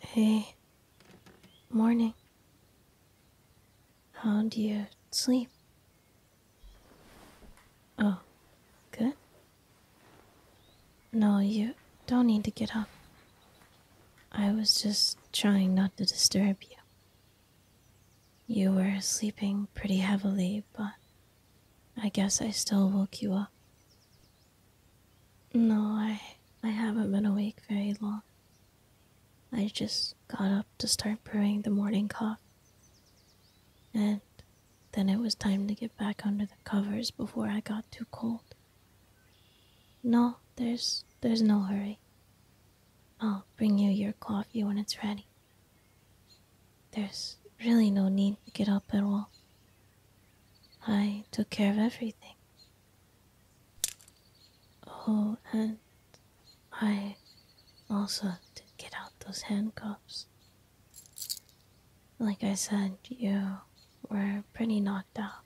Hey, morning. How do you sleep? Oh, good. No, you don't need to get up. I was just trying not to disturb you. You were sleeping pretty heavily, but I guess I still woke you up. No, I I haven't been awake very long. I just got up to start brewing the morning coffee. And then it was time to get back under the covers before I got too cold. No, there's there's no hurry. I'll bring you your coffee when it's ready. There's really no need to get up at all. I took care of everything. Oh, and I also did get out those handcuffs. Like I said, you were pretty knocked out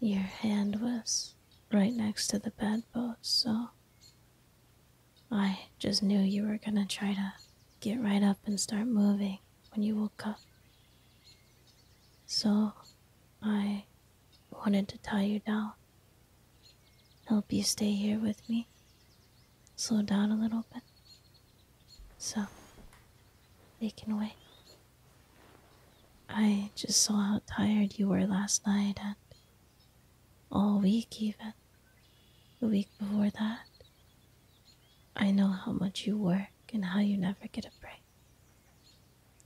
your hand was right next to the bedpost, so I just knew you were gonna try to get right up and start moving when you woke up. So I wanted to tie you down, help you stay here with me, slow down a little bit, so they can wait. I just saw how tired you were last night and all week, even the week before that. I know how much you work and how you never get a break.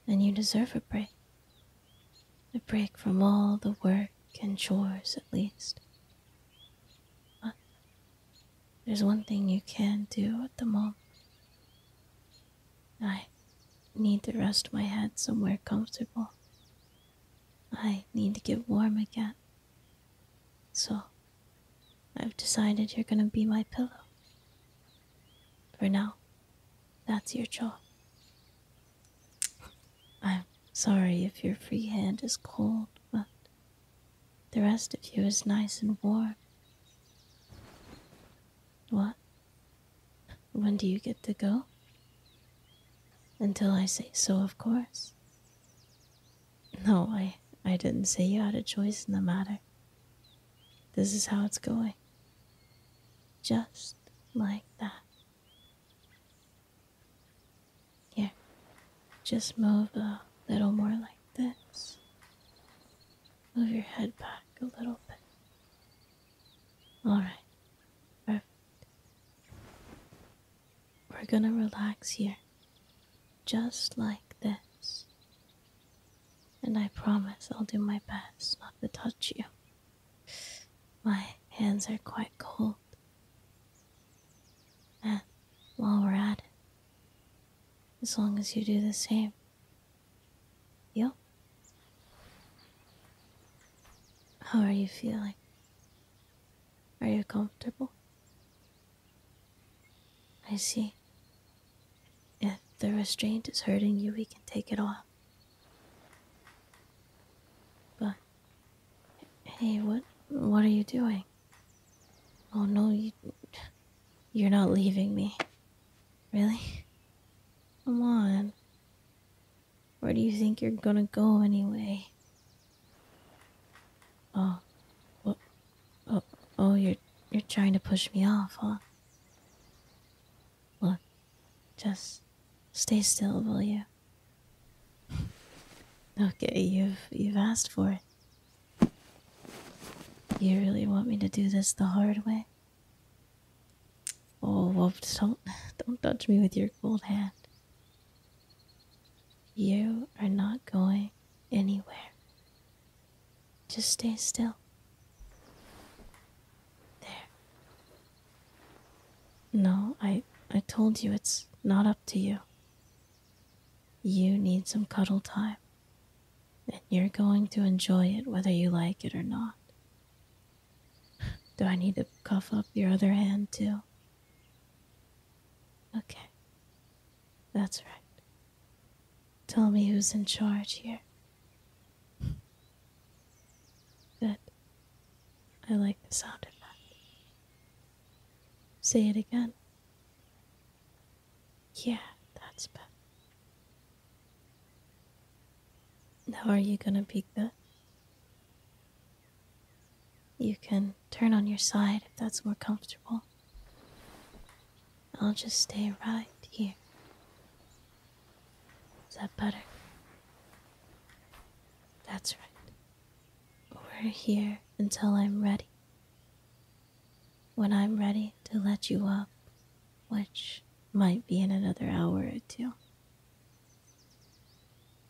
And you deserve a break. A break from all the work and chores, at least. But there's one thing you can do at the moment. I need to rest my head somewhere comfortable. I need to get warm again. So, I've decided you're gonna be my pillow. For now, that's your job. I'm sorry if your free hand is cold, but the rest of you is nice and warm. What? When do you get to go? Until I say so, of course. No, I, I didn't say you had a choice in the matter. This is how it's going. Just like that. Yeah, just move a little more like this. Move your head back a little bit. All right. Perfect. We're going to relax here. Just like this. And I promise I'll do my best not to touch you. My hands are quite cold. And while we're at it, as long as you do the same you? How are you feeling? Are you comfortable? I see. If the restraint is hurting you, we can take it off. But, hey, what, what are you doing? Oh no, you, you're not leaving me. Really? Come on. Where do you think you're gonna go anyway? Oh, Oh, oh, you're you're trying to push me off, huh? Look, just stay still, will you? okay, you've you've asked for it. You really want me to do this the hard way? Oh, well, don't don't touch me with your cold hand. You are not going anywhere. Just stay still. There. No, I I told you it's not up to you. You need some cuddle time, and you're going to enjoy it whether you like it or not. Do I need to cuff up your other hand too? Okay. That's right. Tell me who's in charge here. That. I like the sound of that. Say it again. Yeah, that's better. How are you going to peek that? You can turn on your side if that's more comfortable. I'll just stay right here. Is that better? That's right. We're here until I'm ready. When I'm ready to let you up, which might be in another hour or two.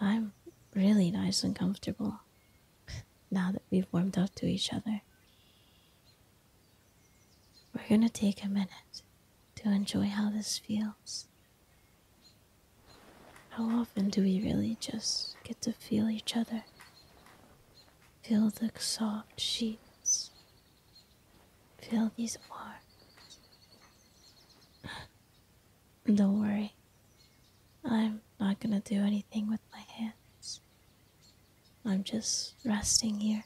I'm really nice and comfortable now that we've warmed up to each other. We're gonna take a minute to enjoy how this feels. How often do we really just get to feel each other? Feel the soft sheets Feel these arms. Don't worry. I'm not gonna do anything with my hands. I'm just resting here.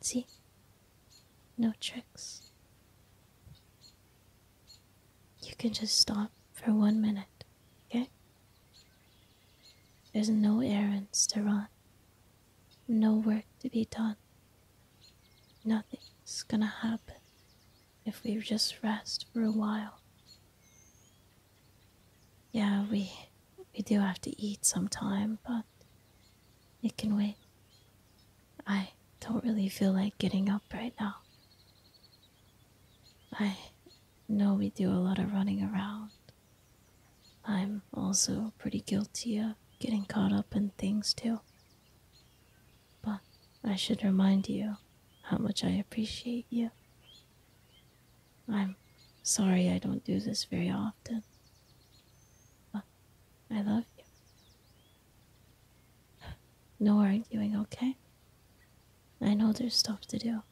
See? No tricks. You can just stop for one minute, okay? There's no errands to run no work to be done. Nothing's gonna happen if we just rest for a while. Yeah, we we do have to eat sometime, but it can wait. I don't really feel like getting up right now. I know we do a lot of running around, I'm also pretty guilty of getting caught up in things too. But I should remind you how much I appreciate you. I'm sorry I don't do this very often. But I love you. No arguing, okay? I know there's stuff to do,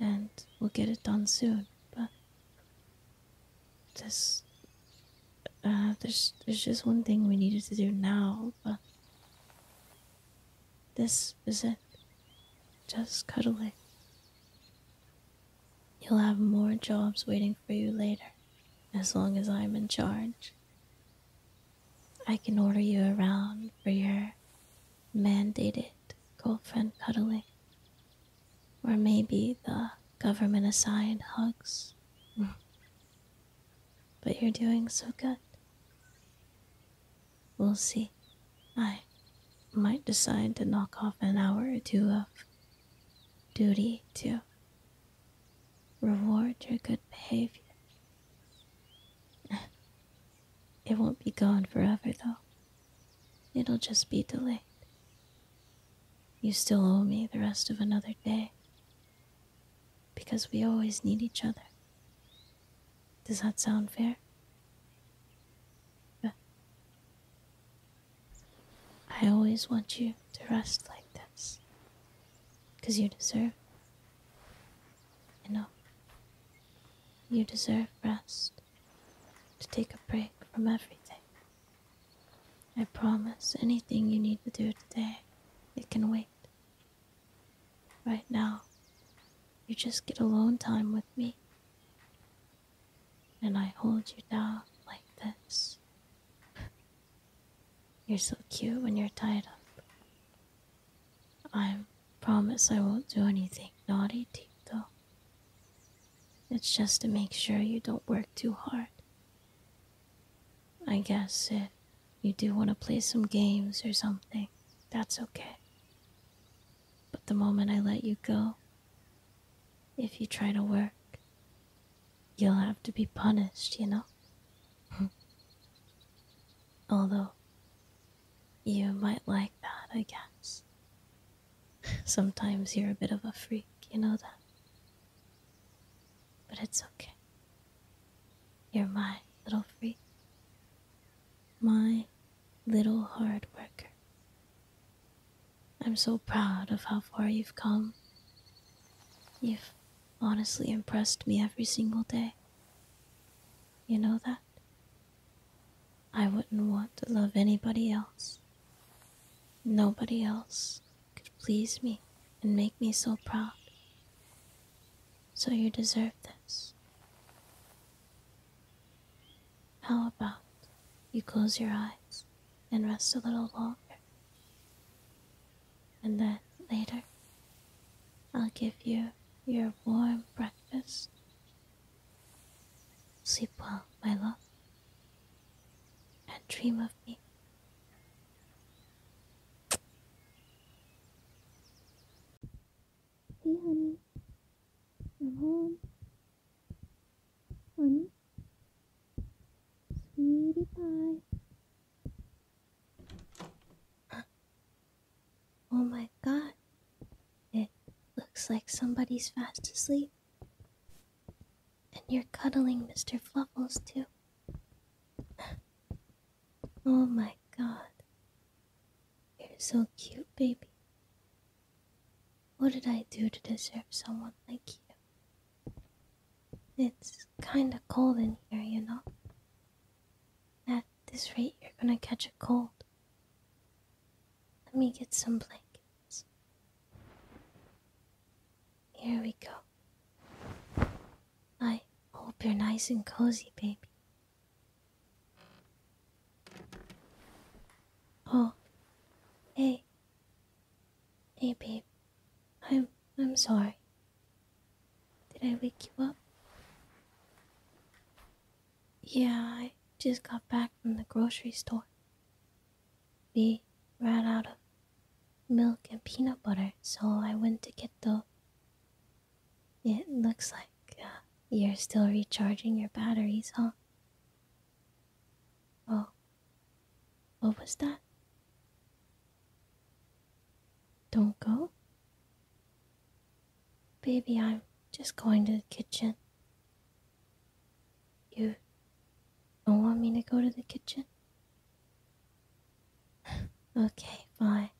and we'll get it done soon, but this, uh, there's there's just one thing we needed to do now, but this is it. Just cuddling. You'll have more jobs waiting for you later, as long as I'm in charge. I can order you around for your mandated girlfriend cuddling or maybe the government assigned hugs. but you're doing so good. We'll see. I might decide to knock off an hour or two of duty to reward your good behavior. It won't be gone forever, though. It'll just be delayed. You still owe me the rest of another day. Because we always need each other. Does that sound fair? But I always want you to rest like this. Because you deserve. You know. You deserve rest. To take a break from everything. I promise anything you need to do today, it can wait. Right now, you just get alone time with me. And I hold you down like this. You're so cute when you're tied up. I promise I won't do anything naughty to you, though. It's just to make sure you don't work too hard. I guess if you do want to play some games or something, that's okay. But the moment I let you go, if you try to work, you'll have to be punished, you know? Although, you might like that, I guess. Sometimes you're a bit of a freak, you know that. But it's okay. You're my little freak. My little hard worker. I'm so proud of how far you've come. You've honestly impressed me every single day. You know that? I wouldn't want to love anybody else. Nobody else could please me and make me so proud. So you deserve this. How about you close your eyes and rest a little longer? And then later, I'll give you your warm breakfast. Sleep well, my love and dream of me. Hey, honey. I'm home. Honey. Sweetie pie. oh my god. It looks like somebody's fast asleep. And you're cuddling Mr. Fluffles, too. oh my god. You're so cute, baby. What did I do to deserve someone like you? It's kinda cold in here, you know? At this rate, you're gonna catch a cold. Let me get some blankets. Here we go. I hope you're nice and cozy, baby. Oh, hey. Hey, baby. I'm I'm sorry. Did I wake you up? Yeah, I just got back from the grocery store we ran out of milk and peanut butter, so I went to get the. It looks like uh, you're still recharging your batteries, huh? Oh, what was that? Don't go? Baby, I'm just going to the kitchen. You don't want me to go to the kitchen? okay, fine.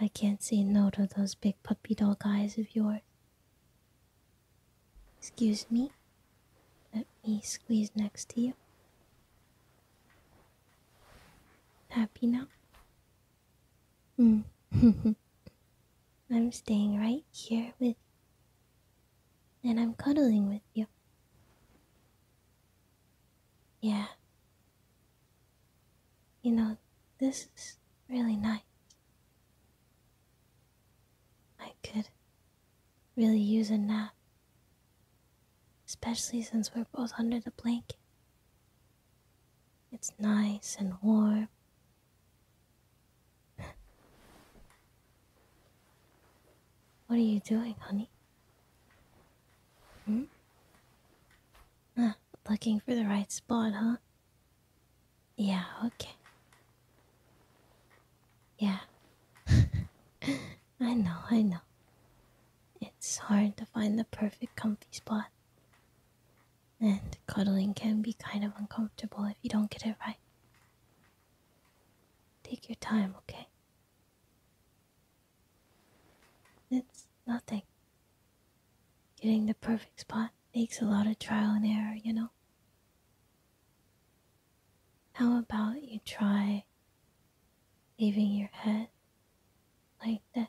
I can't say no to those big puppy dog eyes of yours. Excuse me? Let me squeeze next to you. Happy now? Mm. I'm staying right here with and I'm cuddling with you. Yeah. You know, this is really nice. I could really use a nap, especially since we're both under the blanket. It's nice and warm. What are you doing, honey? Hmm? Ah, looking for the right spot, huh? Yeah, okay. Yeah. I know, I know. It's hard to find the perfect comfy spot. And cuddling can be kind of uncomfortable if you don't get it right. Take your time, okay? It's nothing. Getting the perfect spot takes a lot of trial and error, you know? How about you try leaving your head like that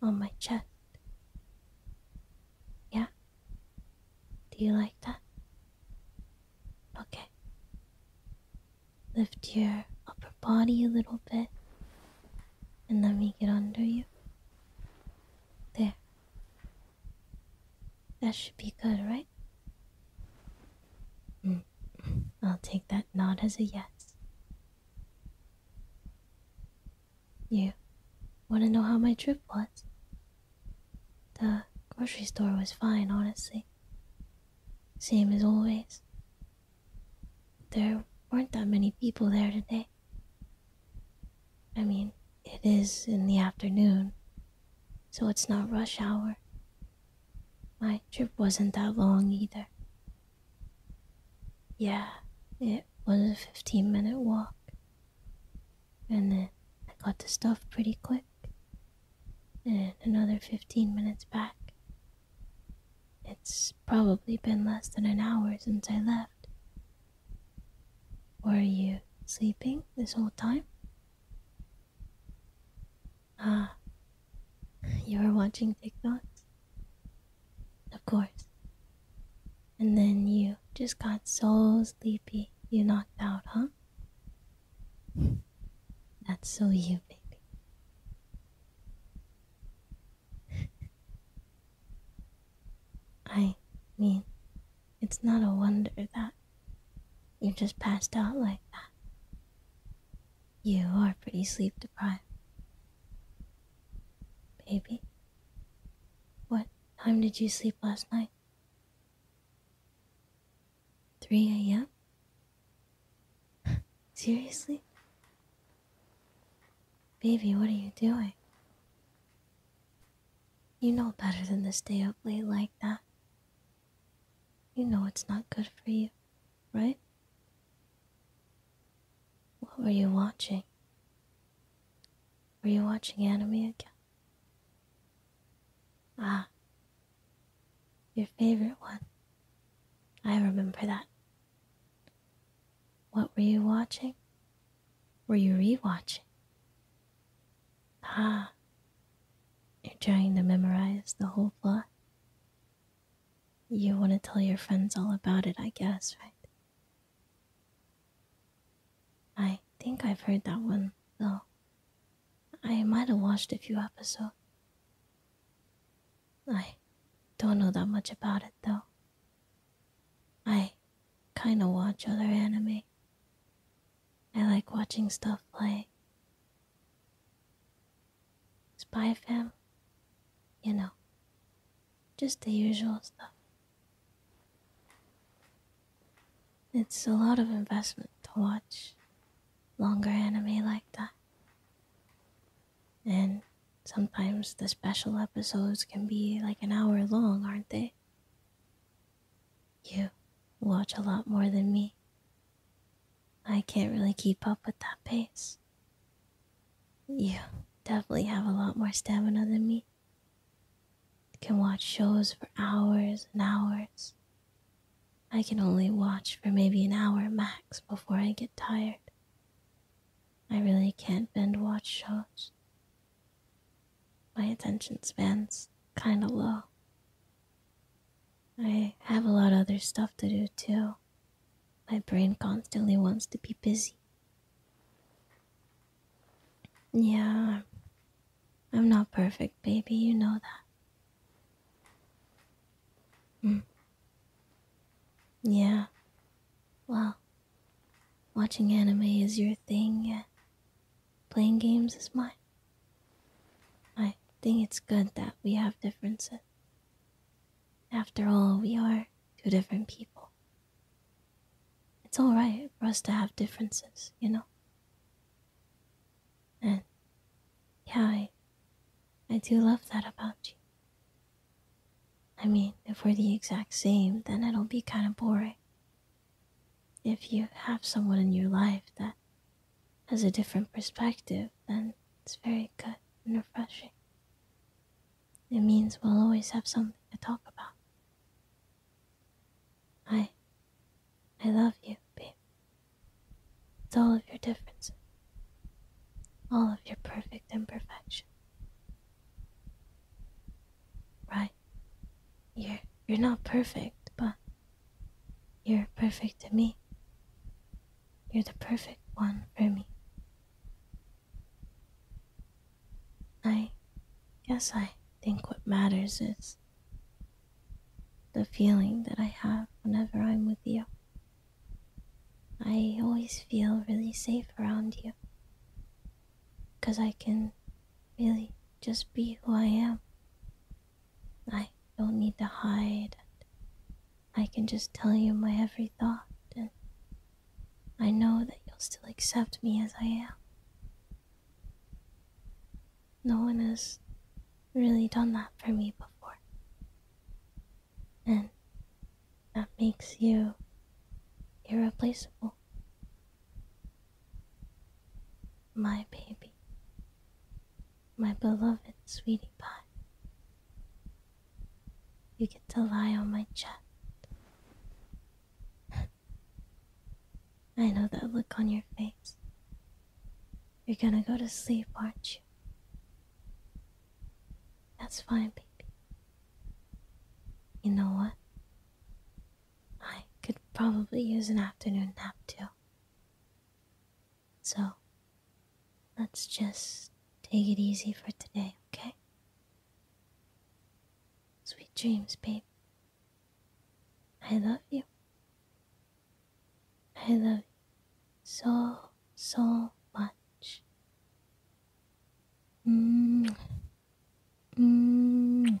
on my chest? Yeah? Do you like that? Okay. Lift your upper body a little bit and let me get under you. There. That should be good, right? Mm. I'll take that nod as a yes. You want to know how my trip was? The grocery store was fine, honestly. Same as always. There weren't that many people there today. I mean, it is in the afternoon, so it's not rush hour. My trip wasn't that long either. Yeah, it was a 15 minute walk and then I got the stuff pretty quick. And another 15 minutes back. It's probably been less than an hour since I left. Were you sleeping this whole time? Ah, you were watching TikTok. Of course. And then you just got souls sleepy you knocked out, huh? That's so you, baby. I mean, it's not a wonder that you just passed out like that. You are pretty sleep deprived. Baby, what time did you sleep last night? 3 a.m.? Seriously? Baby, what are you doing? You know better than to stay up late like that. You know it's not good for you, right? What were you watching? Were you watching anime again? Ah, your favorite one. I remember that. What were you watching? Were you rewatching? Ah, you're trying to memorize the whole plot. You want to tell your friends all about it, I guess, right? I think I've heard that one, though. I might have watched a few episodes. I don't know that much about it, though. I kinda watch other anime. I like watching stuff like Spy Fam, you know, just the usual stuff. It's a lot of investment to watch longer anime like that. And sometimes the special episodes can be like an hour long, aren't they? You watch a lot more than me. I can't really keep up with that pace. You definitely have a lot more stamina than me can watch shows for hours and hours. I can only watch for maybe an hour max before I get tired. I really can't binge watch shows. My attention span's kinda low. I have a lot of other stuff to do too. My brain constantly wants to be busy. Yeah, I'm not perfect, baby, you know that. Mm. Yeah, well, watching anime is your thing, yeah. playing games is mine. I think it's good that we have differences. After all, we are two different people. It's alright for us to have differences, you know? And yeah, I, I do love that about you. I mean, if we're the exact same, then it'll be kind of boring. If you have someone in your life that has a different perspective, then it's very good and refreshing. It means we'll always have something to talk about. I I love you, babe. It's all of your differences. All of your perfect imperfections. Right. You're you're not perfect, but you're perfect to me. You're the perfect one for me. I guess I think what matters is the feeling that I have whenever I'm with you. I always feel really safe around you because I can really just be who I am. I don't need to hide. I can just tell you my every thought, and I know that you'll still accept me as I am. No one has really done that for me before. And that makes you irreplaceable. My baby. My beloved sweetie pie. You get to lie on my chest. I know that look on your face. You're gonna go to sleep, aren't you? That's fine, baby. You know what? I could probably use an afternoon nap too. So, let's just take it easy for today, okay? Sweet dreams, babe. I love you. I love you so, so much. Mm. Mm.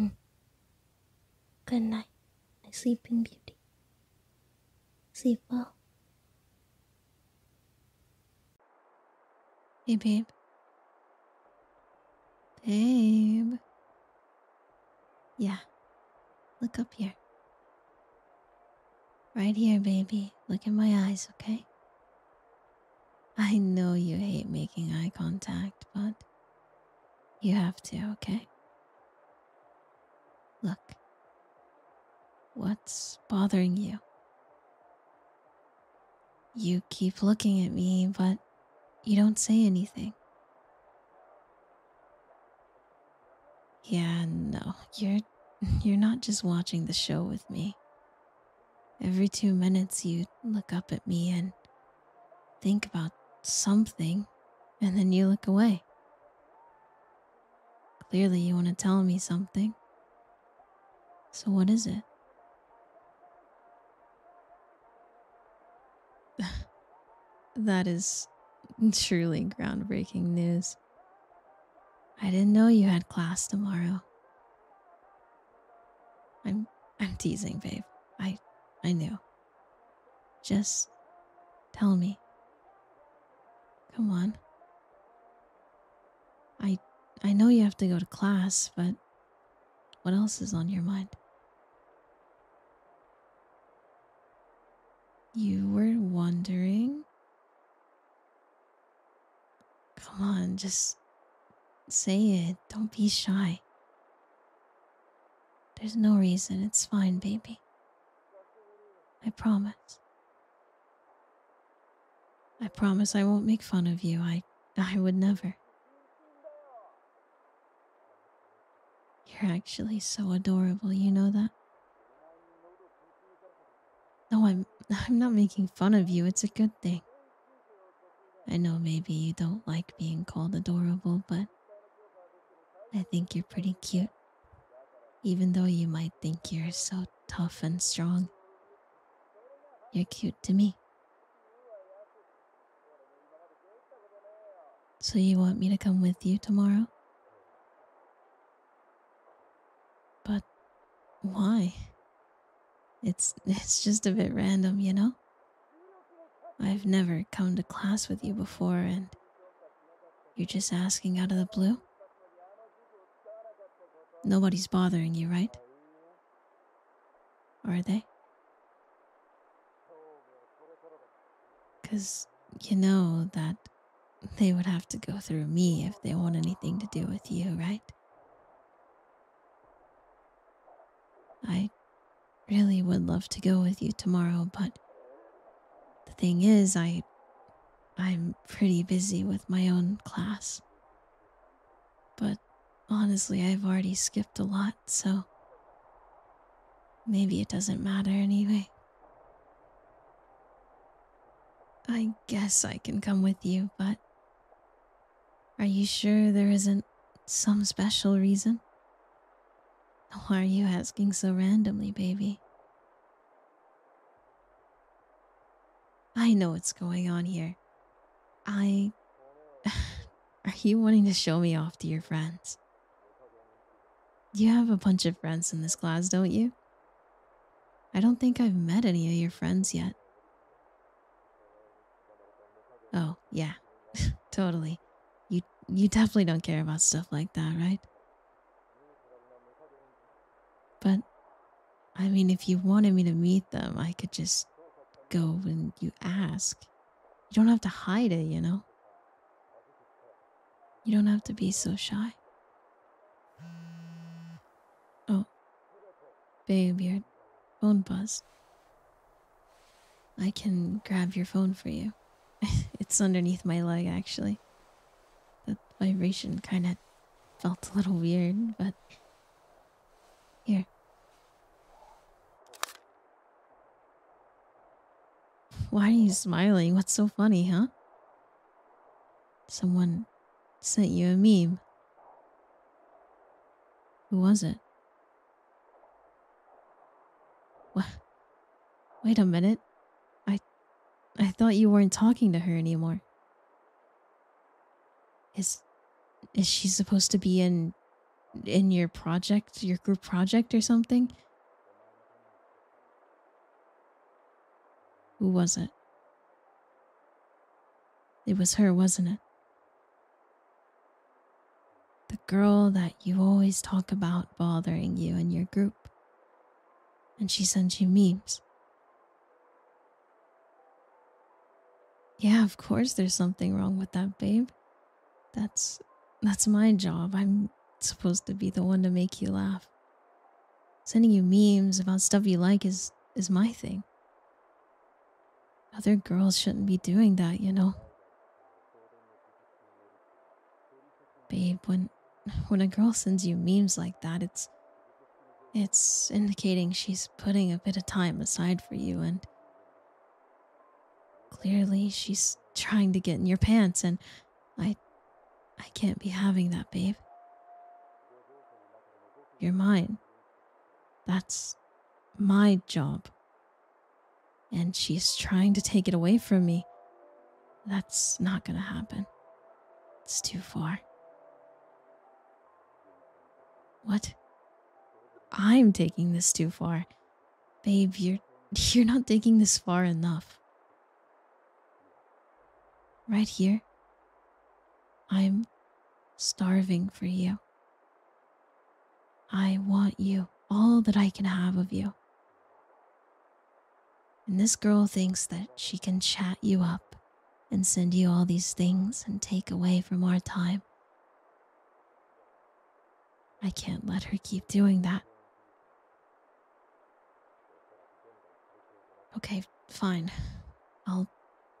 Mm. Good night, my sleeping beauty. Sleep well. Hey, babe. Babe. Yeah. Look up here. Right here, baby. Look in my eyes, okay? I know you hate making eye contact, but you have to, okay? Look, what's bothering you? You keep looking at me, but you don't say anything. Yeah, no. You're you're not just watching the show with me. Every 2 minutes you look up at me and think about something and then you look away. Clearly, you want to tell me something. So, what is it? that is truly groundbreaking news. I didn't know you had class tomorrow. I'm I'm teasing, babe. I I knew. Just tell me. Come on. I I know you have to go to class, but what else is on your mind? You were wondering? Come on, just say it. Don't be shy. There's no reason. It's fine, baby. I promise. I promise I won't make fun of you. I I would never. You're actually so adorable, you know that? No, I'm I'm not making fun of you. It's a good thing. I know maybe you don't like being called adorable, but I think you're pretty cute. Even though you might think you're so tough and strong. You're cute to me. So, you want me to come with you tomorrow? But why? It's it's just a bit random, you know? I've never come to class with you before and you're just asking out of the blue? Nobody's bothering you, right? Are they? Because you know that they would have to go through me if they want anything to do with you, right? I really would love to go with you tomorrow, but the thing is, I I'm pretty busy with my own class. But honestly, I've already skipped a lot, so maybe it doesn't matter anyway. I guess I can come with you, but are you sure there isn't some special reason? Why are you asking so randomly, baby? I know what's going on here. I. Are you wanting to show me off to your friends? You have a bunch of friends in this class, don't you? I don't think I've met any of your friends yet. Oh, yeah. totally. You you definitely don't care about stuff like that, right? But I mean, if you wanted me to meet them, I could just go and you ask. You don't have to hide it, you know? You don't have to be so shy. Oh, babe, your phone buzzed. I can grab your phone for you. it's underneath my leg, actually. The vibration kind of Felt a little weird, but here. Why are you smiling? What's so funny, huh? Someone sent you a meme. Who was it? Wait a minute. I I thought you weren't talking to her anymore. Is is she supposed to be in in your project, your group project or something? Who was it? It was her, wasn't it? The girl that you always talk about bothering you in your group. And she sends you memes. Yeah, of course there's something wrong with that, babe. That's that's my job. I'm supposed to be the one to make you laugh. Sending you memes about stuff you like is is my thing. Other girls shouldn't be doing that, you know. Babe, when when a girl sends you memes like that, it's it's indicating she's putting a bit of time aside for you and clearly she's trying to get in your pants and I I can't be having that, babe. You're mine. That's my job. And she's trying to take it away from me. That's not gonna happen. It's too far. What? I'm taking this too far. Babe, you're you're not taking this far enough. Right here. I'm starving for you. I want you, all that I can have of you. And this girl thinks that she can chat you up and send you all these things and take away from our time. I can't let her keep doing that. Okay, fine. I'll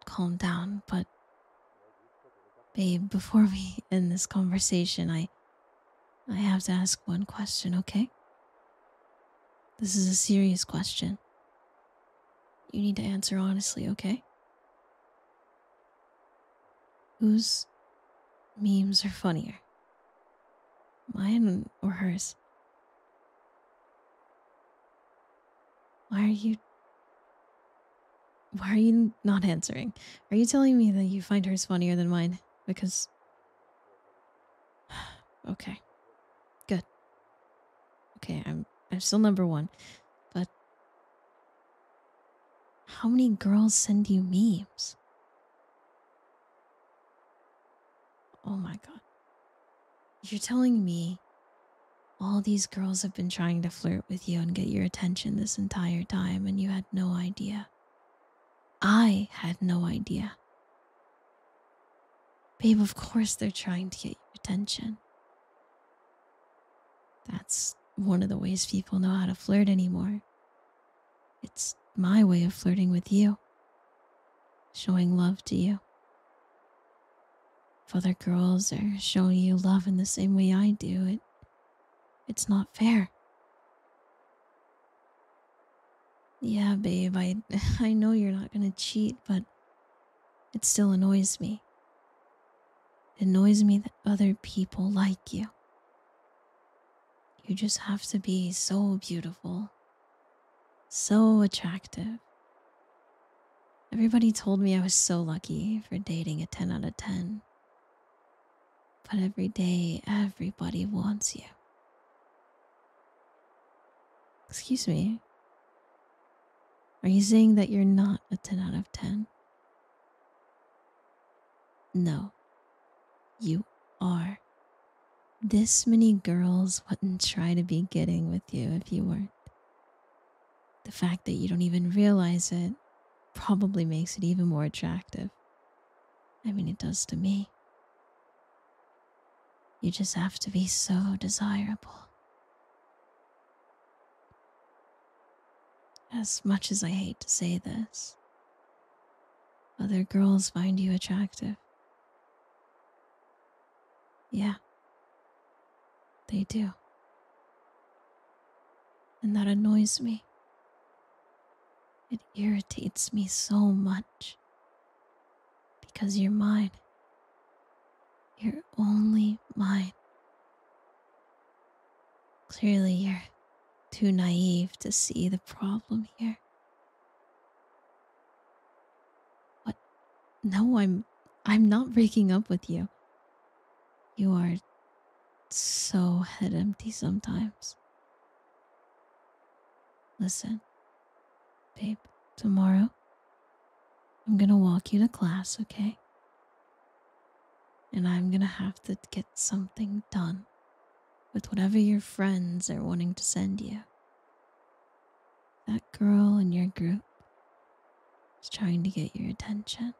calm down, but babe, before we end this conversation, I I have to ask one question, okay? This is a serious question. You need to answer honestly, okay? Whose memes are funnier? Mine or hers? Why are you. Why are you not answering? Are you telling me that you find hers funnier than mine? Because okay. Good. Okay, I'm I'm still number one. But how many girls send you memes? Oh my god. You're telling me all these girls have been trying to flirt with you and get your attention this entire time, and you had no idea. I had no idea. Babe, of course they're trying to get your attention. That's one of the ways people know how to flirt anymore. It's my way of flirting with you, showing love to you. If other girls are showing you love in the same way I do, it it's not fair. Yeah, babe, I I know you're not going to cheat, but it still annoys me. It annoys me that other people like you. You just have to be so beautiful, so attractive. Everybody told me I was so lucky for dating a 10 out of 10. But every day, everybody wants you. Excuse me. Are you saying that you're not a 10 out of 10? No, you are. This many girls wouldn't try to be getting with you if you weren't. The fact that you don't even realize it probably makes it even more attractive. I mean, it does to me. You just have to be so desirable. As much as I hate to say this, other girls find you attractive. Yeah, they do. And that annoys me. It irritates me so much because you're mine. You're only mine. Clearly, you're too naive to see the problem here. What? No, I'm I'm not breaking up with you. You are so head empty sometimes. Listen, Babe, tomorrow I'm gonna walk you to class, okay? And I'm gonna have to get something done with whatever your friends are wanting to send you. That girl in your group is trying to get your attention.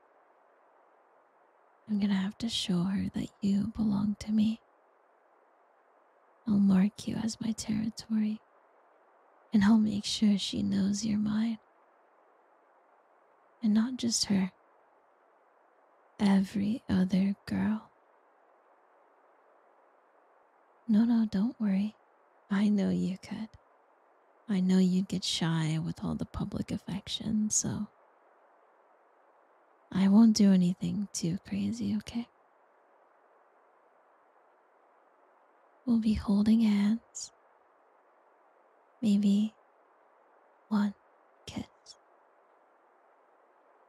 I'm gonna have to show her that you belong to me I'll mark you as my territory, and I'll make sure she knows you're mine. And not just her, every other girl. No, no, don't worry. I know you could. I know you'd get shy with all the public affection, so I won't do anything too crazy, okay? We'll be holding hands, maybe one kiss.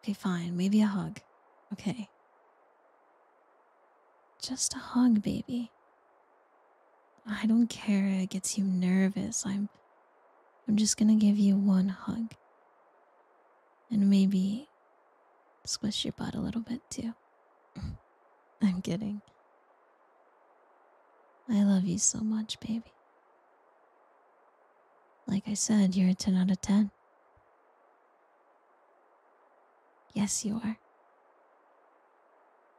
Okay, fine, maybe a hug. Okay. Just a hug, baby. I don't care, it gets you nervous. I'm I'm just gonna give you one hug. And maybe squish your butt a little bit too. I'm kidding. I love you so much, baby. Like I said, you're a 10 out of 10. Yes, you are.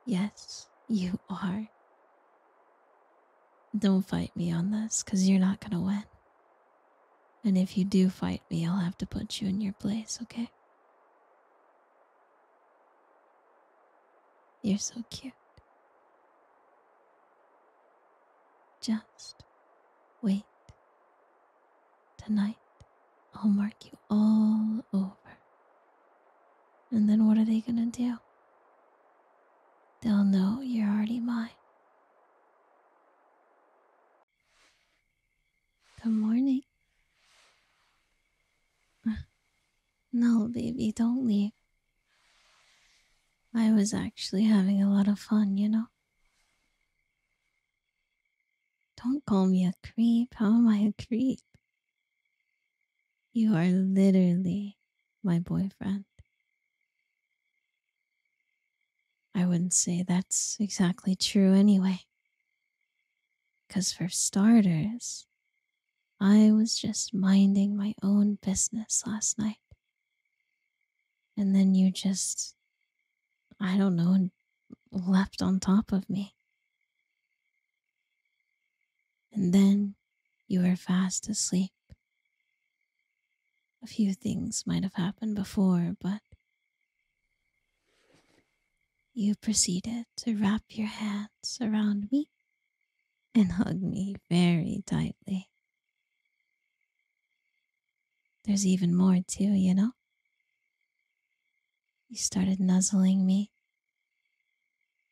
Yes, you are. Don't fight me on this, because you're not going to win. And if you do fight me, I'll have to put you in your place, okay? You're so cute. Just wait. Tonight, I'll mark you all over. And then what are they gonna do? They'll know you're already mine. Good morning. No, baby, don't leave. I was actually having a lot of fun, you know? Don't call me a creep. How am I a creep? You are literally my boyfriend. I wouldn't say that's exactly true anyway. Because, for starters, I was just minding my own business last night. And then you just, I don't know, leapt on top of me. And then you were fast asleep. A few things might have happened before, but you proceeded to wrap your hands around me and hug me very tightly. There's even more, too, you know? You started nuzzling me,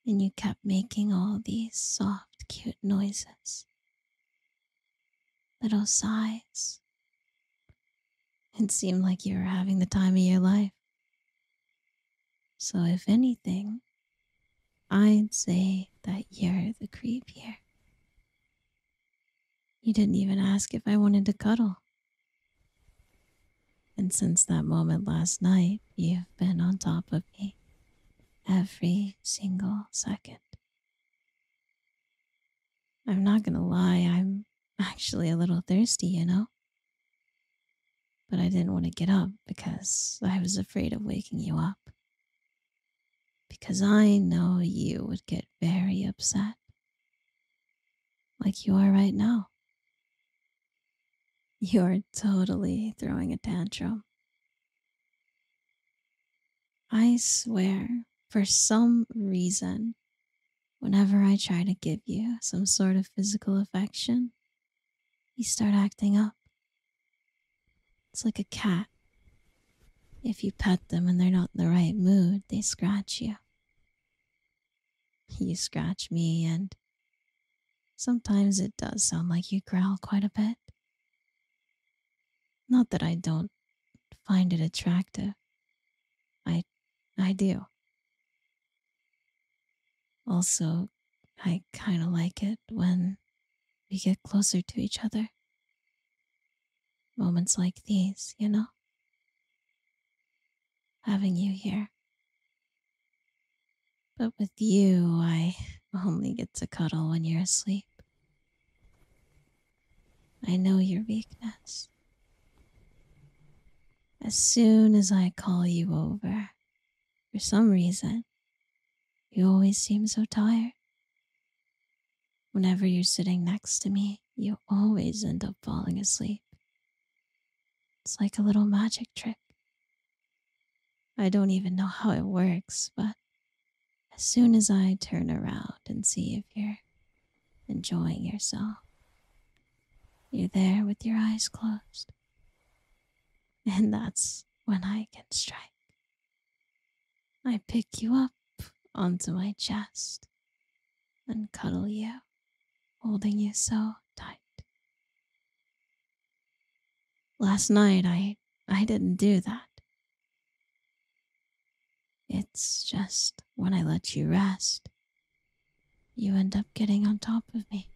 and you kept making all these soft, cute noises little sighs, it seemed like you were having the time of your life. So, if anything, I'd say that you're the creep here. You didn't even ask if I wanted to cuddle. And since that moment last night, you've been on top of me every single second. I'm not gonna lie, I'm actually a little thirsty, you know? But I didn't want to get up because I was afraid of waking you up. Because I know you would get very upset, like you are right now. You're totally throwing a tantrum. I swear, for some reason, Whenever I try to give you some sort of physical affection, you start acting up. It's like a cat. If you pet them and they're not in the right mood, they scratch you. You scratch me, and sometimes it does sound like you growl quite a bit. Not that I don't find it attractive. I I do. Also, I kind of like it when we get closer to each other. Moments like these, you know? Having you here. But with you, I only get to cuddle when you're asleep. I know your weakness. As soon as I call you over, for some reason, you always seem so tired. Whenever you're sitting next to me, you always end up falling asleep. It's like a little magic trick. I don't even know how it works, but as soon as I turn around and see if you're enjoying yourself. You're there with your eyes closed. And that's when I can strike. I pick you up onto my chest and cuddle you, holding you so tight. Last night I I didn't do that. It's just when I let you rest, you end up getting on top of me.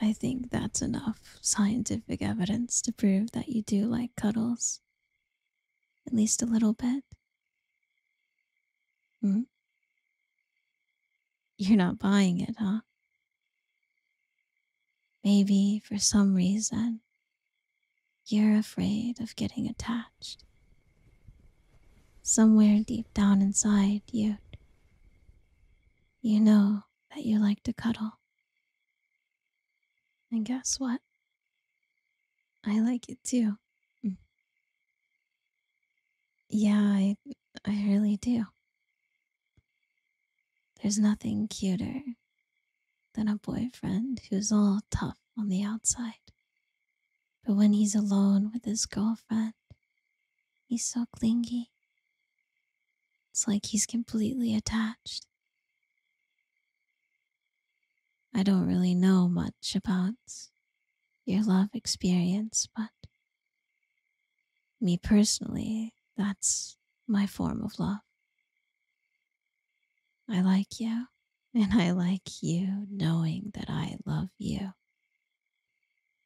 I think that's enough scientific evidence to prove that you do like cuddles. At least a little bit. Hmm? You're not buying it, huh? Maybe for some reason you're afraid of getting attached. Somewhere deep down inside you, you know that you like to cuddle. And guess what? I like it too. Mm. Yeah, I, I really do. There's nothing cuter than a boyfriend who's all tough on the outside. But when he's alone with his girlfriend, he's so clingy. It's like he's completely attached. I don't really know much about your love experience, but me personally, that's my form of love. I like you, and I like you knowing that I love you.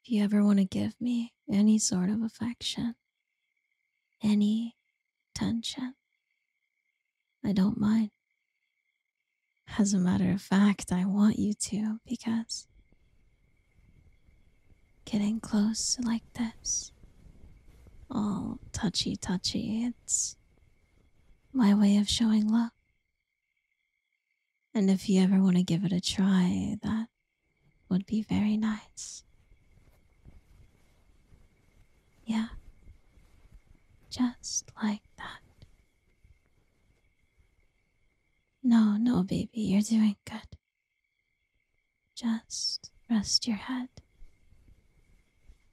If you ever want to give me any sort of affection, any tension, I don't mind. As a matter of fact, I want you to because getting close like this, all touchy touchy, it's my way of showing love. And if you ever want to give it a try, that would be very nice. Yeah, just like that. No, no, baby, you're doing good. Just rest your head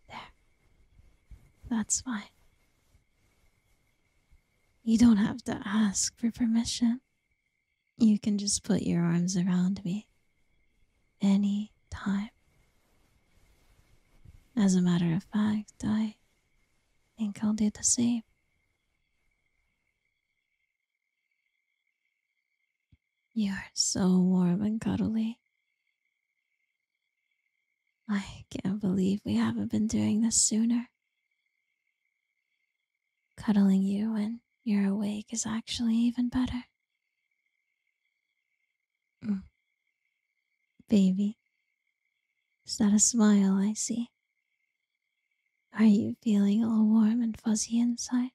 there. That's fine. You don't have to ask for permission. You can just put your arms around me any time. As a matter of fact, I think I'll do the same. You are so warm and cuddly. I can't believe we haven't been doing this sooner. Cuddling you when you're awake is actually even better. Mm. Baby, is that a smile I see? Are you feeling all warm and fuzzy inside?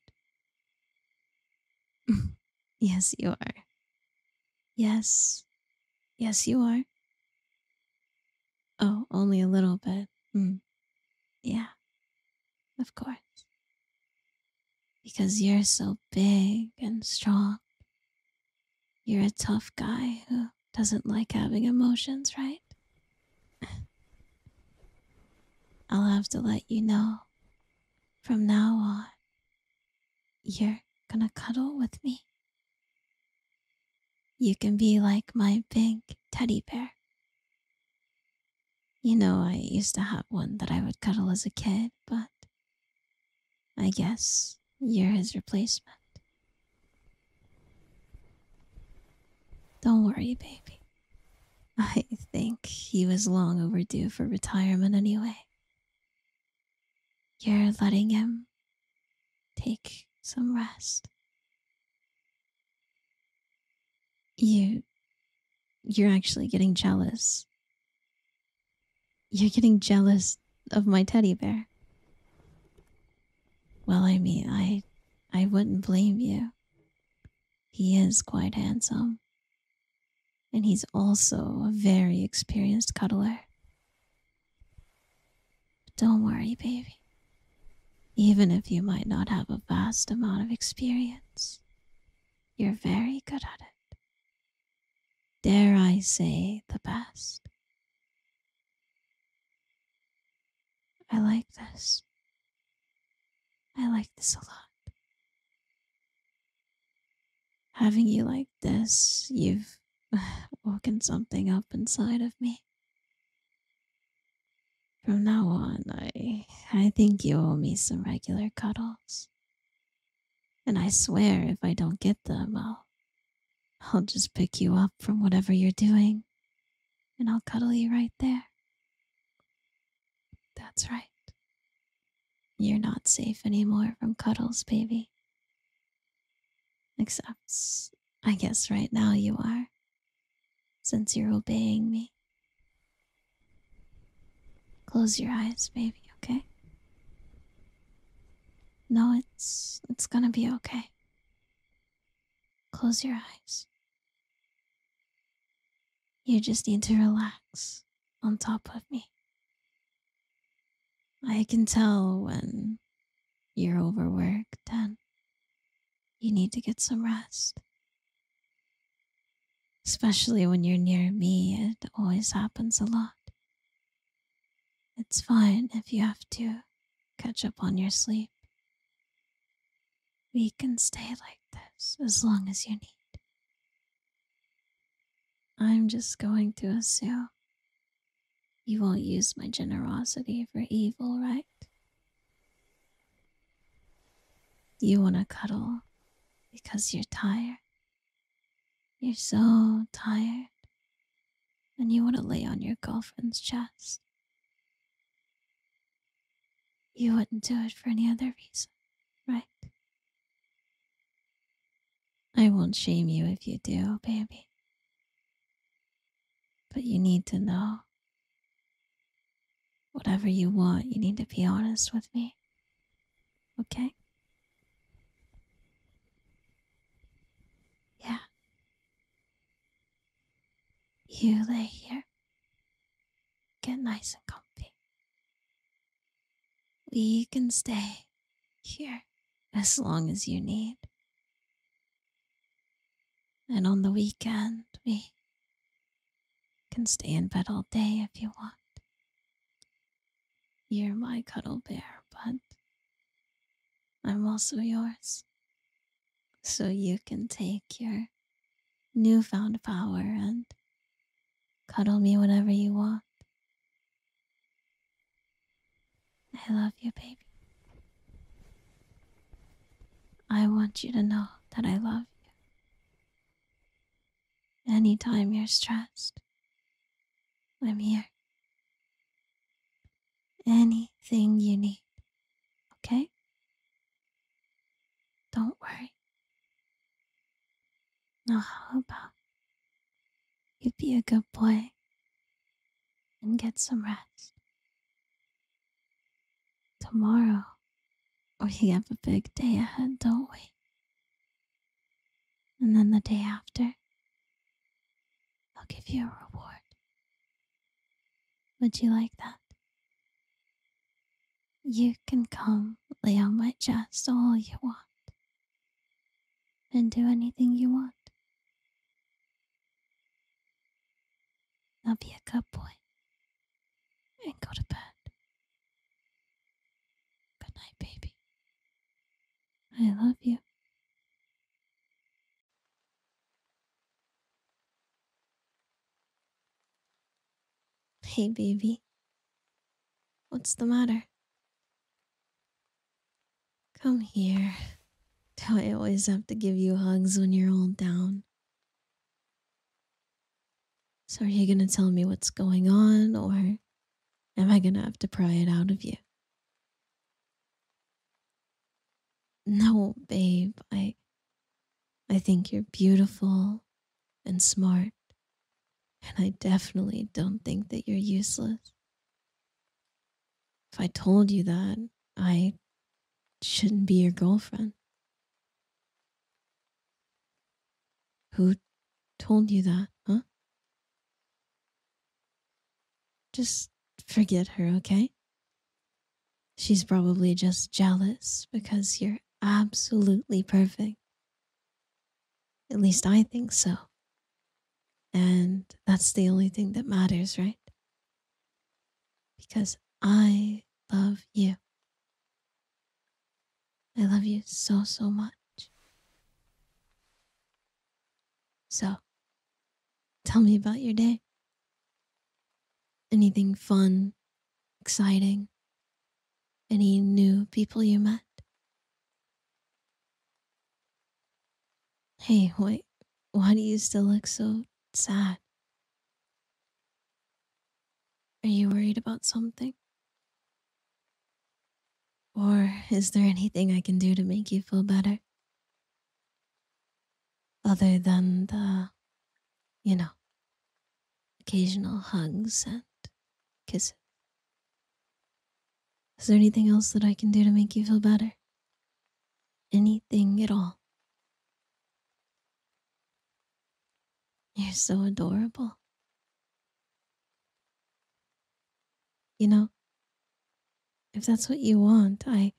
yes, you are. Yes. Yes, you are. Oh, only a little bit. Mm. Yeah. Of course. Because you're so big and strong. You're a tough guy who doesn't like having emotions, right? I'll have to let you know from now on you're gonna cuddle with me? You can be like my big teddy bear. You know, I used to have one that I would cuddle as a kid, but I guess you're his replacement. Don't worry, baby. I think he was long overdue for retirement anyway. You're letting him take some rest. You you're actually getting jealous. You're getting jealous of my teddy bear. Well, I mean, I I wouldn't blame you. He is quite handsome and he's also a very experienced cuddler. But don't worry, baby. Even if you might not have a vast amount of experience, you're very good at it. Dare I say the best? I like this. I like this a lot. Having you like this, you've woken something up inside of me. From now on, I I think you owe me some regular cuddles. And I swear if I don't get them, I'll I'll just pick you up from whatever you're doing and I'll cuddle you right there. That's right. You're not safe anymore from cuddles, baby. Except, I guess right now you are, since you're obeying me. Close your eyes, baby, okay? No, it's it's gonna be okay. Close your eyes. You just need to relax on top of me. I can tell when you're overworked and you need to get some rest. Especially when you're near me, it always happens a lot. It's fine if you have to catch up on your sleep. We can stay like this as long as you need. I'm just going to assume you won't use my generosity for evil, right? You want to cuddle because you're tired. You're so tired. And you want to lay on your girlfriend's chest. You wouldn't do it for any other reason, right? I won't shame you if you do, baby. But you need to know. Whatever you want, you need to be honest with me. Okay? Yeah. You lay here. Get nice and comfy. We can stay here as long as you need. And on the weekend, we can stay in bed all day if you want. You're my cuddle bear, but I'm also yours. So you can take your newfound power and cuddle me whenever you want. I love you, baby. I want you to know that I love you. Anytime you're stressed, I'm here. Anything you need, okay? Don't worry. Now, how about you be a good boy and get some rest? Tomorrow, we have a big day ahead, don't we? And then the day after, I'll give you a reward. Would you like that? You can come lay on my chest all you want and do anything you want. Now be a good boy and go to bed. Good night, baby. I love you. Hey, baby. What's the matter? Come here. Do I always have to give you hugs when you're all down? So, are you going to tell me what's going on, or am I going to have to pry it out of you? No, babe, I. I think you're beautiful and smart and I definitely don't think that you're useless. If I told you that, I shouldn't be your girlfriend. Who told you that, huh? Just forget her, okay? She's probably just jealous because you're absolutely perfect. At least I think so. And that's the only thing that matters, right? Because I love you. I love you so, so much. So, tell me about your day. Anything fun, exciting? Any new people you met? Hey, wait, why do you still look so sad? Are you worried about something? Or is there anything I can do to make you feel better? Other than the, you know, occasional hugs and kisses. Is there anything else that I can do to make you feel better? Anything at all? You're so adorable. You know, if that's what you want, I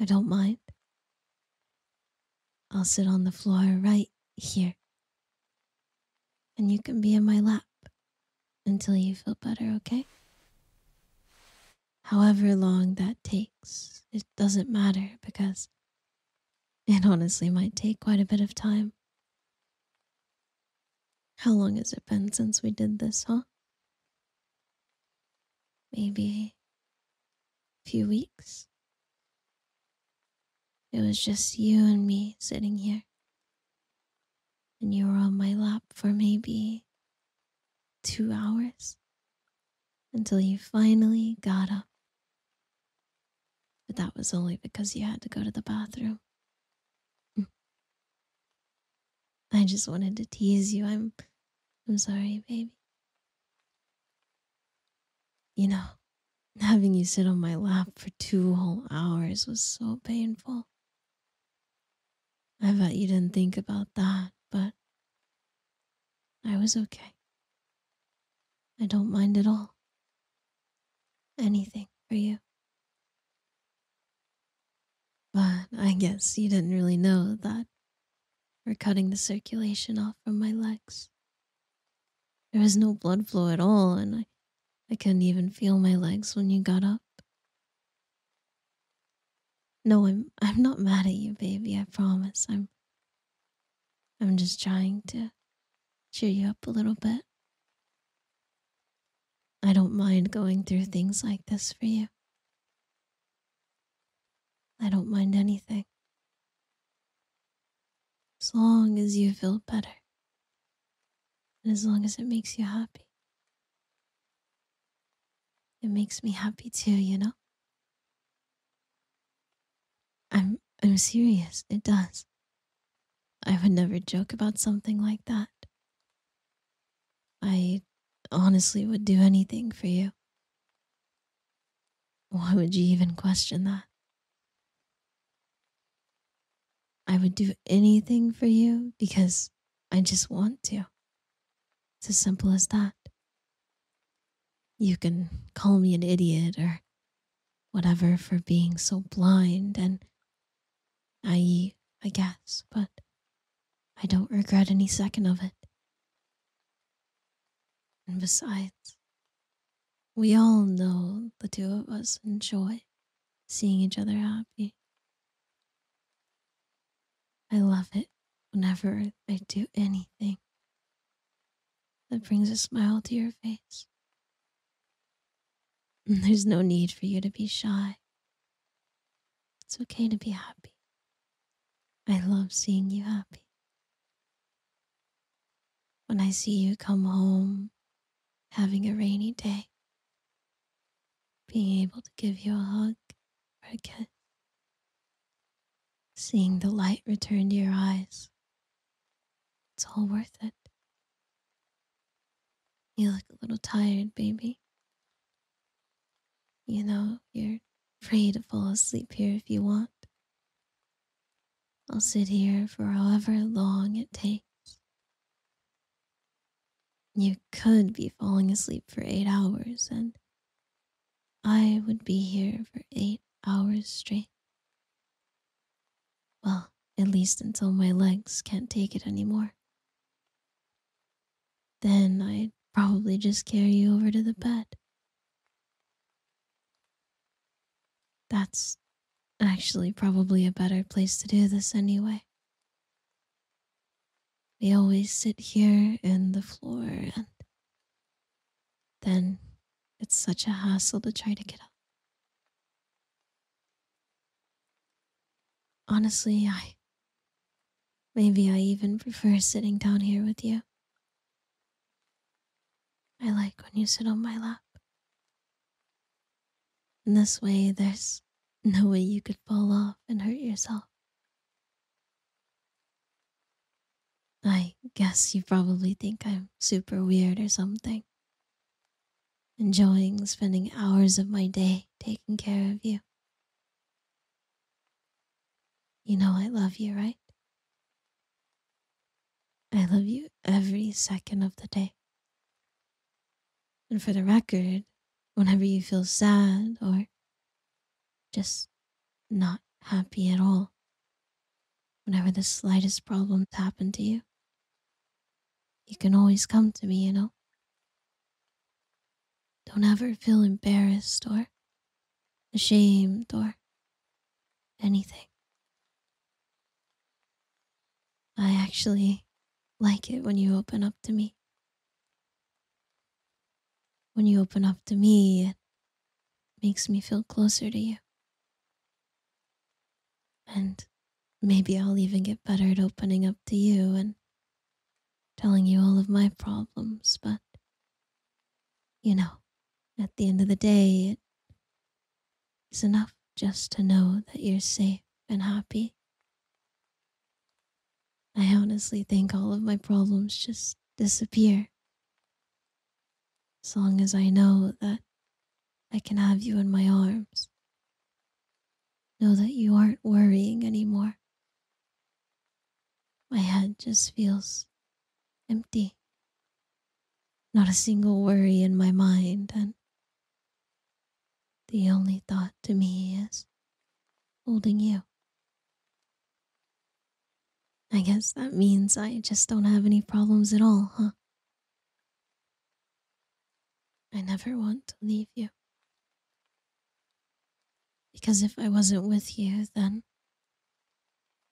I don't mind. I'll sit on the floor right here. And you can be in my lap until you feel better, okay? However long that takes, it doesn't matter because it honestly might take quite a bit of time. How long has it been since we did this, huh? Maybe a few weeks? It was just you and me sitting here, and you were on my lap for maybe two hours until you finally got up. But that was only because you had to go to the bathroom. I just wanted to tease you. I'm I'm sorry, baby. You know, having you sit on my lap for two whole hours was so painful. I bet you didn't think about that, but I was okay. I don't mind at all. Anything for you. But I guess you didn't really know that we're cutting the circulation off from my legs. There is no blood flow at all, and I I couldn't even feel my legs when you got up. No, I'm I'm not mad at you, baby, I promise. I'm I'm just trying to cheer you up a little bit. I don't mind going through things like this for you. I don't mind anything. As long as you feel better and as long as it makes you happy, it makes me happy too, you know? I'm I'm serious, it does. I would never joke about something like that. I honestly would do anything for you. Why would you even question that? I would do anything for you because I just want to. It's as simple as that. You can call me an idiot or whatever for being so blind and I I guess, but I don't regret any second of it. And besides, we all know the two of us enjoy seeing each other happy. I love it whenever I do anything that brings a smile to your face. there's no need for you to be shy. It's okay to be happy. I love seeing you happy. When I see you come home having a rainy day, being able to give you a hug or a kiss, seeing the light return to your eyes. It's all worth it. You look a little tired, baby. You know, you're free to fall asleep here if you want. I'll sit here for however long it takes you could be falling asleep for eight hours, and I would be here for eight hours straight. Well, at least until my legs can't take it anymore. Then I'd probably just carry you over to the bed. That's Actually, probably a better place to do this anyway. We always sit here in the floor, and then it's such a hassle to try to get up. Honestly, I. Maybe I even prefer sitting down here with you. I like when you sit on my lap. In this way, there's no way you could fall off and hurt yourself. I guess you probably think I'm super weird or something. Enjoying spending hours of my day taking care of you. You know I love you, right? I love you every second of the day. And for the record, whenever you feel sad or just not happy at all, whenever the slightest problem happens to you, you can always come to me, you know? Don't ever feel embarrassed or ashamed or anything. I actually like it when you open up to me. When you open up to me, it makes me feel closer to you. And maybe I'll even get better at opening up to you and telling you all of my problems, but you know, at the end of the day, it is enough just to know that you're safe and happy. I honestly think all of my problems just disappear. As long as I know that I can have you in my arms. Know that you aren't worrying anymore. My head just feels empty. Not a single worry in my mind, and the only thought to me is holding you. I guess that means I just don't have any problems at all, huh? I never want to leave you. Because if I wasn't with you, then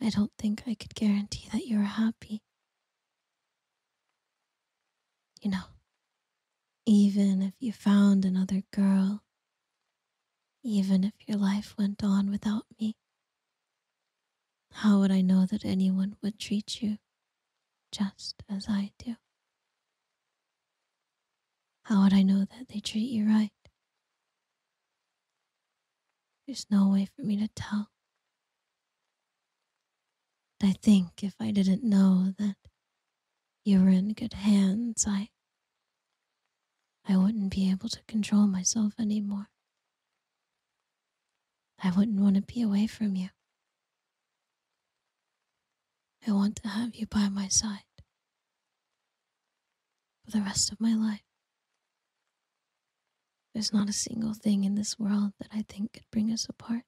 I don't think I could guarantee that you are happy. You know, even if you found another girl, even if your life went on without me, how would I know that anyone would treat you just as I do? How would I know that they treat you right? There's no way for me to tell I think if I didn't know that you were in good hands, I I wouldn't be able to control myself anymore. I wouldn't want to be away from you. I want to have you by my side for the rest of my life. There's not a single thing in this world that I think could bring us apart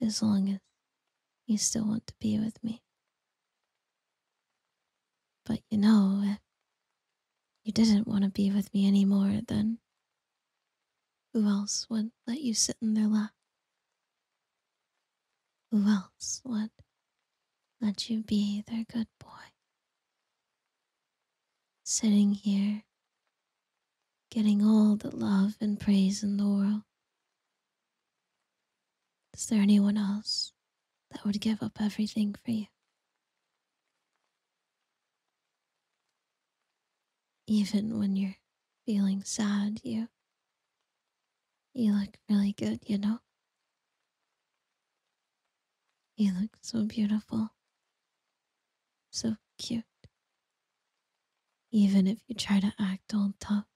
as long as you still want to be with me. But you know, if you didn't want to be with me anymore, then who else would let you sit in their lap? Who else would let you be their good boy? Sitting here getting all the love and praise in the world. Is there anyone else that would give up everything for you? Even when you're feeling sad, you you look really good, you know? You look so beautiful. So cute. Even if you try to act all tough,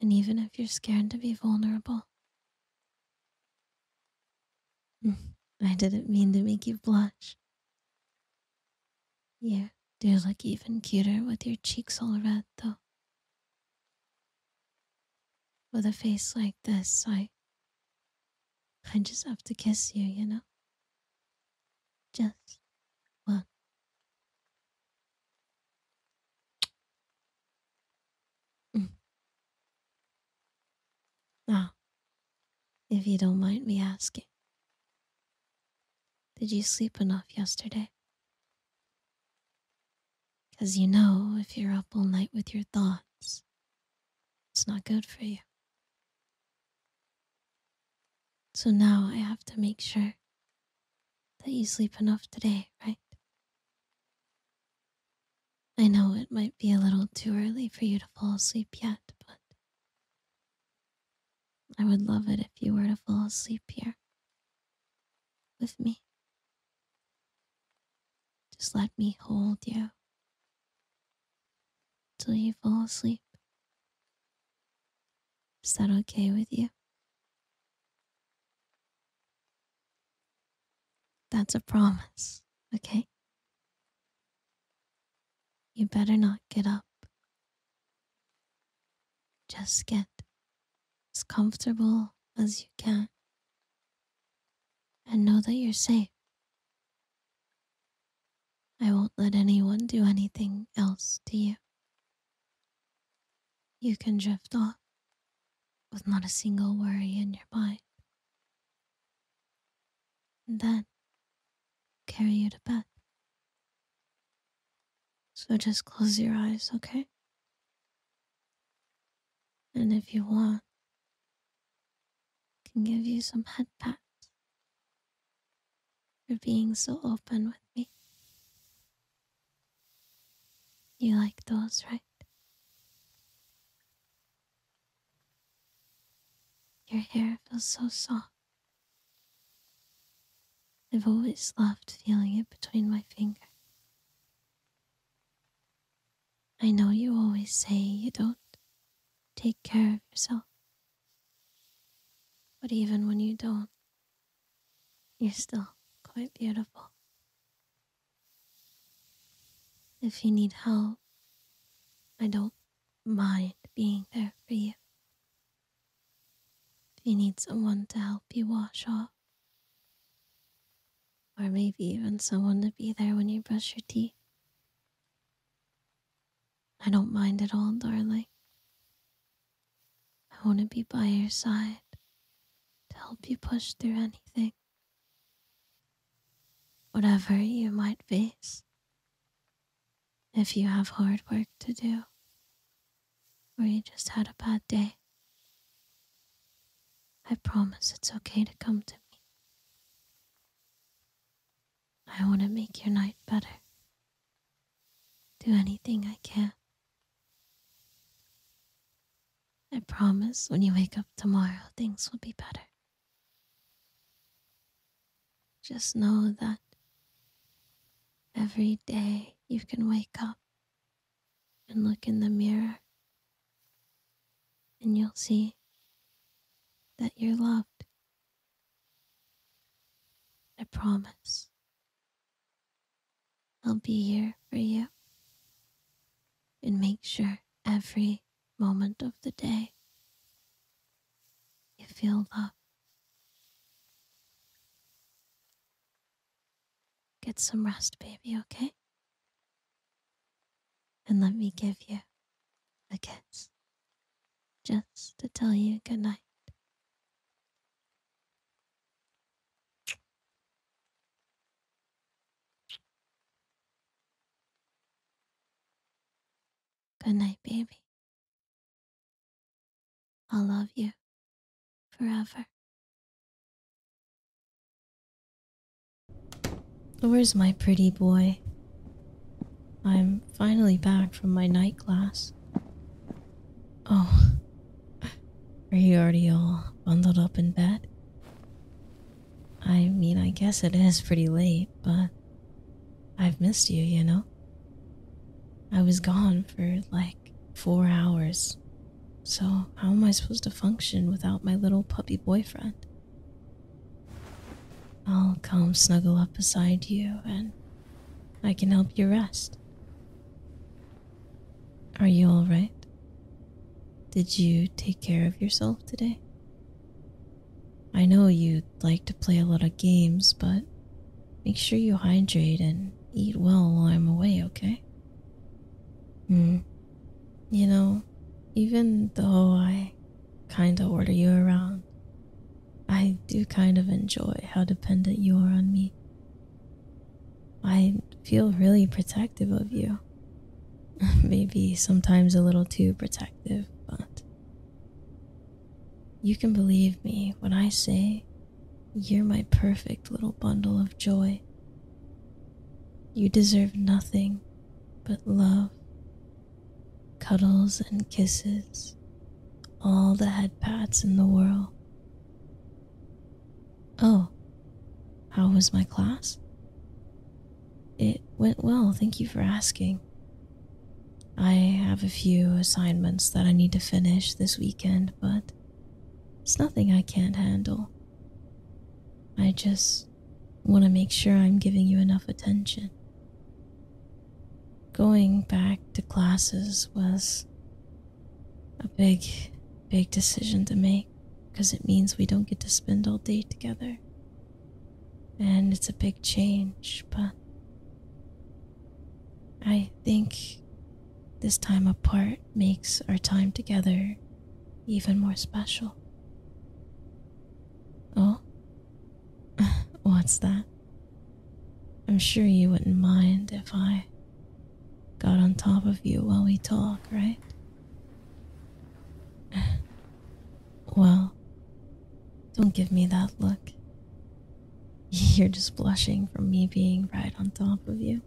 and even if you're scared to be vulnerable. Hmm, I didn't mean to make you blush. You do look even cuter with your cheeks all red, though. With a face like this, I. I just have to kiss you, you know? Just one. Mm. Now, if you don't mind me asking, did you sleep enough yesterday? 'Cause you know, if you're up all night with your thoughts, it's not good for you. So now I have to make sure that you sleep enough today, right? I know it might be a little too early for you to fall asleep yet, but I would love it if you were to fall asleep here with me. Just let me hold you till you fall asleep. Is that okay with you? That's a promise, okay? You better not get up. Just get as comfortable as you can and know that you're safe I won't let anyone do anything else to you. You can drift off with not a single worry in your mind. And then carry you to bed. So just close your eyes, okay? And if you want, can give you some head pats for being so open with me. You like those, right? Your hair feels so soft. I've always loved feeling it between my fingers. I know you always say you don't take care of yourself, but even when you don't, you're still quite beautiful. If you need help, I don't mind being there for you. If you need someone to help you wash off, or maybe even someone to be there when you brush your teeth. I don't mind at all, darling. I want to be by your side to help you push through anything, whatever you might face. If you have hard work to do, or you just had a bad day, I promise it's okay to come to me. I want to make your night better. Do anything I can. I promise when you wake up tomorrow, things will be better. Just know that every day you can wake up and look in the mirror, and you'll see that you're loved I promise I'll be here for you and make sure every moment of the day you feel loved. Get some rest, baby, okay? And let me give you a kiss just to tell you good night. Good night, baby. I'll love you forever. Where's my pretty boy? I'm finally back from my night class. Oh, are you already all bundled up in bed? I mean, I guess it is pretty late, but I've missed you, you know? I was gone for like four hours, so how am I supposed to function without my little puppy boyfriend? I'll come snuggle up beside you and I can help you rest. Are you alright? Did you take care of yourself today? I know you like to play a lot of games, but make sure you hydrate and eat well while I'm away, okay? Hmm. You know, even though I kinda order you around, I do kind of enjoy how dependent you are on me. I feel really protective of you. Maybe sometimes a little too protective, but you can believe me when I say you're my perfect little bundle of joy. You deserve nothing but love cuddles and kisses, all the headpats in the world. Oh, how was my class? It went well, thank you for asking. I have a few assignments that I need to finish this weekend, but it's nothing I can't handle. I just want to make sure I'm giving you enough attention. Going back to classes was a big, big decision to make because it means we don't get to spend all day together. And it's a big change, but I think this time apart makes our time together even more special. Oh, What's that? I'm sure you wouldn't mind if I got on top of you while we talk, right? Well, don't give me that look. You're just blushing from me being right on top of you.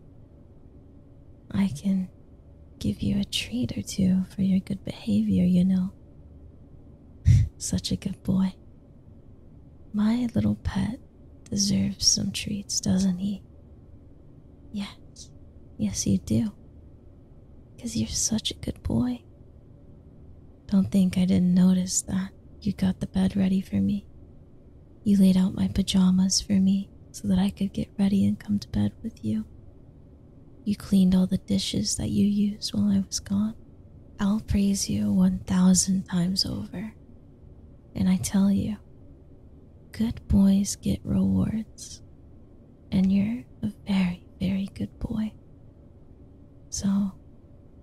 I can give you a treat or two for your good behavior, you know. Such a good boy. My little pet deserves some treats, doesn't he? Yes, yes, you do. Because you're such a good boy. Don't think I didn't notice that you got the bed ready for me. You laid out my pajamas for me so that I could get ready and come to bed with you. You cleaned all the dishes that you used while I was gone. I'll praise you 1,000 times over. And I tell you, good boys get rewards, and you're a very, very good boy. So,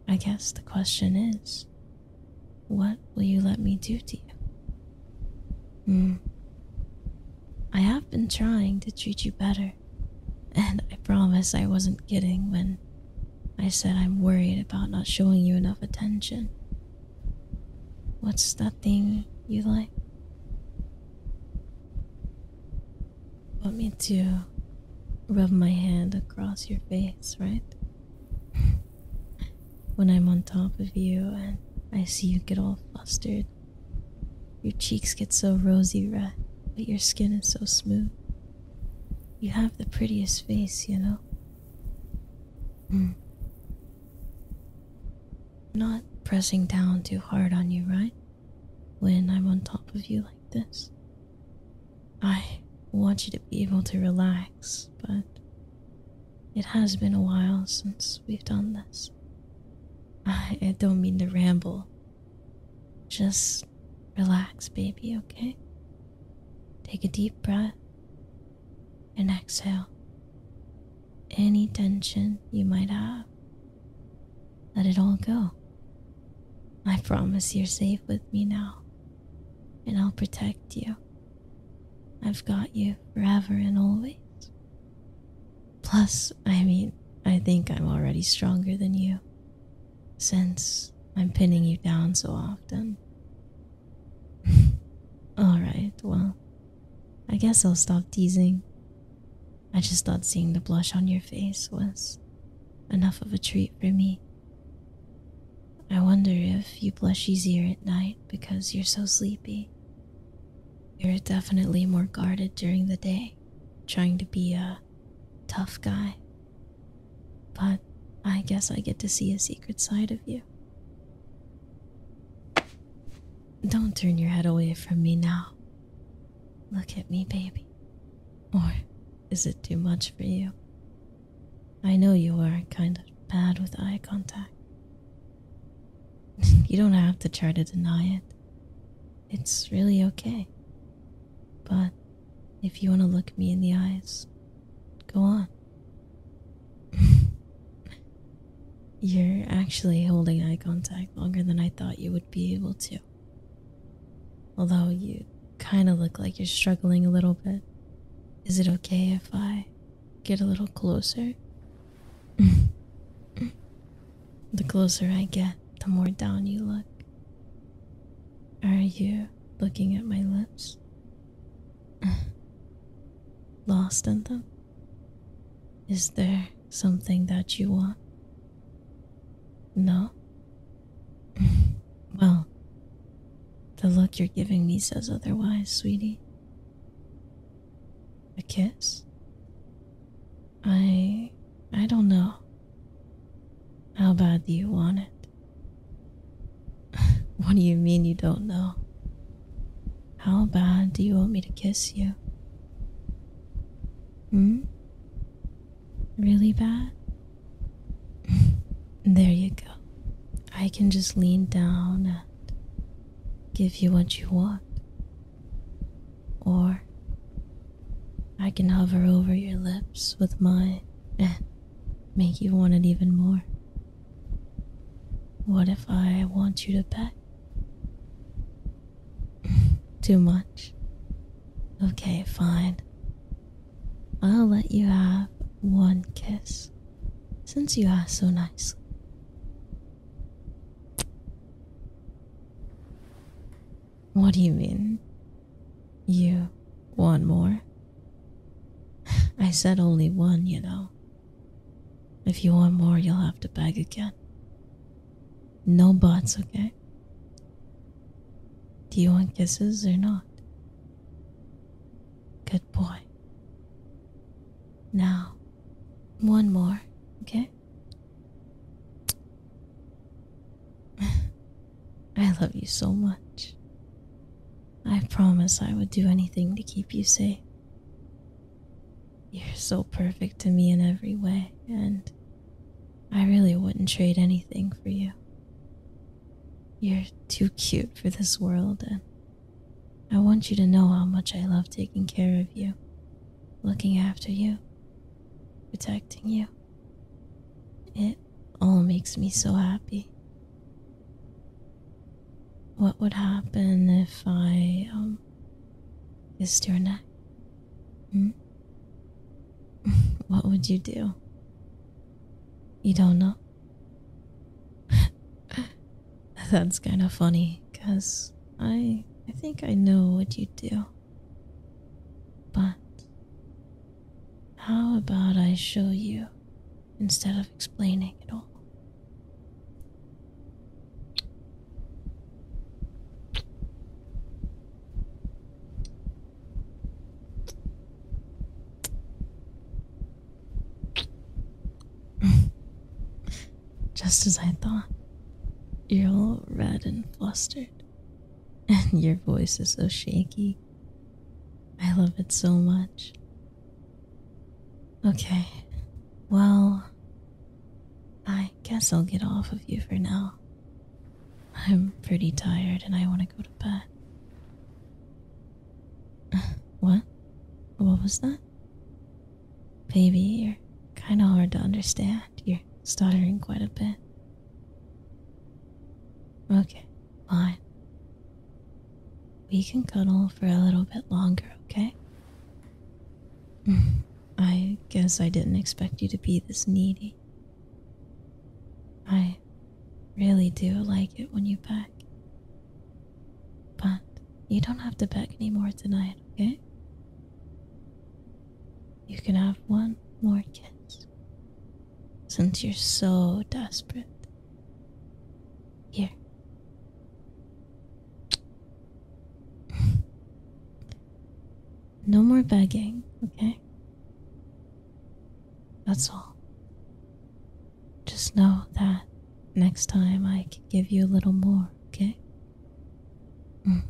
I guess the question is what will you let me do to you? Hmm. I have been trying to treat you better and I promise I wasn't kidding when I said I'm worried about not showing you enough attention. What's that thing you like? Want me to rub my hand across your face, right? when I'm on top of you and I see you get all flustered, your cheeks get so rosy red, but your skin is so smooth. You have the prettiest face, you know? Hmm. Not pressing down too hard on you, right? When I'm on top of you like this. I want you to be able to relax, but it has been a while since we've done this. I don't mean to ramble, just relax, baby, okay? Take a deep breath and exhale any tension you might have. Let it all go. I promise you're safe with me now, and I'll protect you. I've got you forever and always. Plus, I mean, I think I'm already stronger than you, since I'm pinning you down so often. Alright, well, I guess I'll stop teasing. I just thought seeing the blush on your face was enough of a treat for me. I wonder if you blush easier at night because you're so sleepy. You're definitely more guarded during the day, trying to be a tough guy. But I guess I get to see a secret side of you. Don't turn your head away from me now. Look at me, baby. Or is it too much for you? I know you are kind of bad with eye contact. you don't have to try to deny it it's really okay. But if you want to look me in the eyes, go on. You're actually holding eye contact longer than I thought you would be able to. Although you kind of look like you're struggling a little bit. Is it okay if I get a little closer? the closer I get, the more down you look. Are you looking at my lips? Lost in them? Is there something that you want? No? well, the look you're giving me says otherwise, sweetie. A kiss? I. I don't know. How bad do you want it? what do you mean you don't know? How bad do you want me to kiss you? Hmm? Really bad? there you go. I can just lean down and give you what you want. Or I can hover over your lips with mine and make you want it even more. What if I want you to pet? Too much? Okay, fine. I'll let you have one kiss since you are so nice. What do you mean? You want more? I said only one, you know. If you want more, you'll have to beg again. No buts, okay? Do you want kisses or not? Good boy. Now, one more, okay? I love you so much. I promise I would do anything to keep you safe. You're so perfect to me in every way, and I really wouldn't trade anything for you. You're too cute for this world, and I want you to know how much I love taking care of you, looking after you, protecting you. It all makes me so happy. What would happen if I um, kissed your neck? Hmm? what would you do? You don't know? That's kind of funny, cause I I think I know what you would do. But how about I show you instead of explaining it all? Just as I thought, you're all red and flustered. And your voice is so shaky. I love it so much. Okay, well, I guess I'll get off of you for now. I'm pretty tired and I want to go to bed. What? What was that? Baby, you're kind of hard to understand. You're stuttering quite a bit. Okay, fine. We can cuddle for a little bit longer, okay? I guess I didn't expect you to be this needy. I really do like it when you peck. But you don't have to peck anymore tonight, okay? you can have one more kiss since you're so desperate. Here. No more begging, okay? That's all. Just know that next time I can give you a little more, okay? Mm.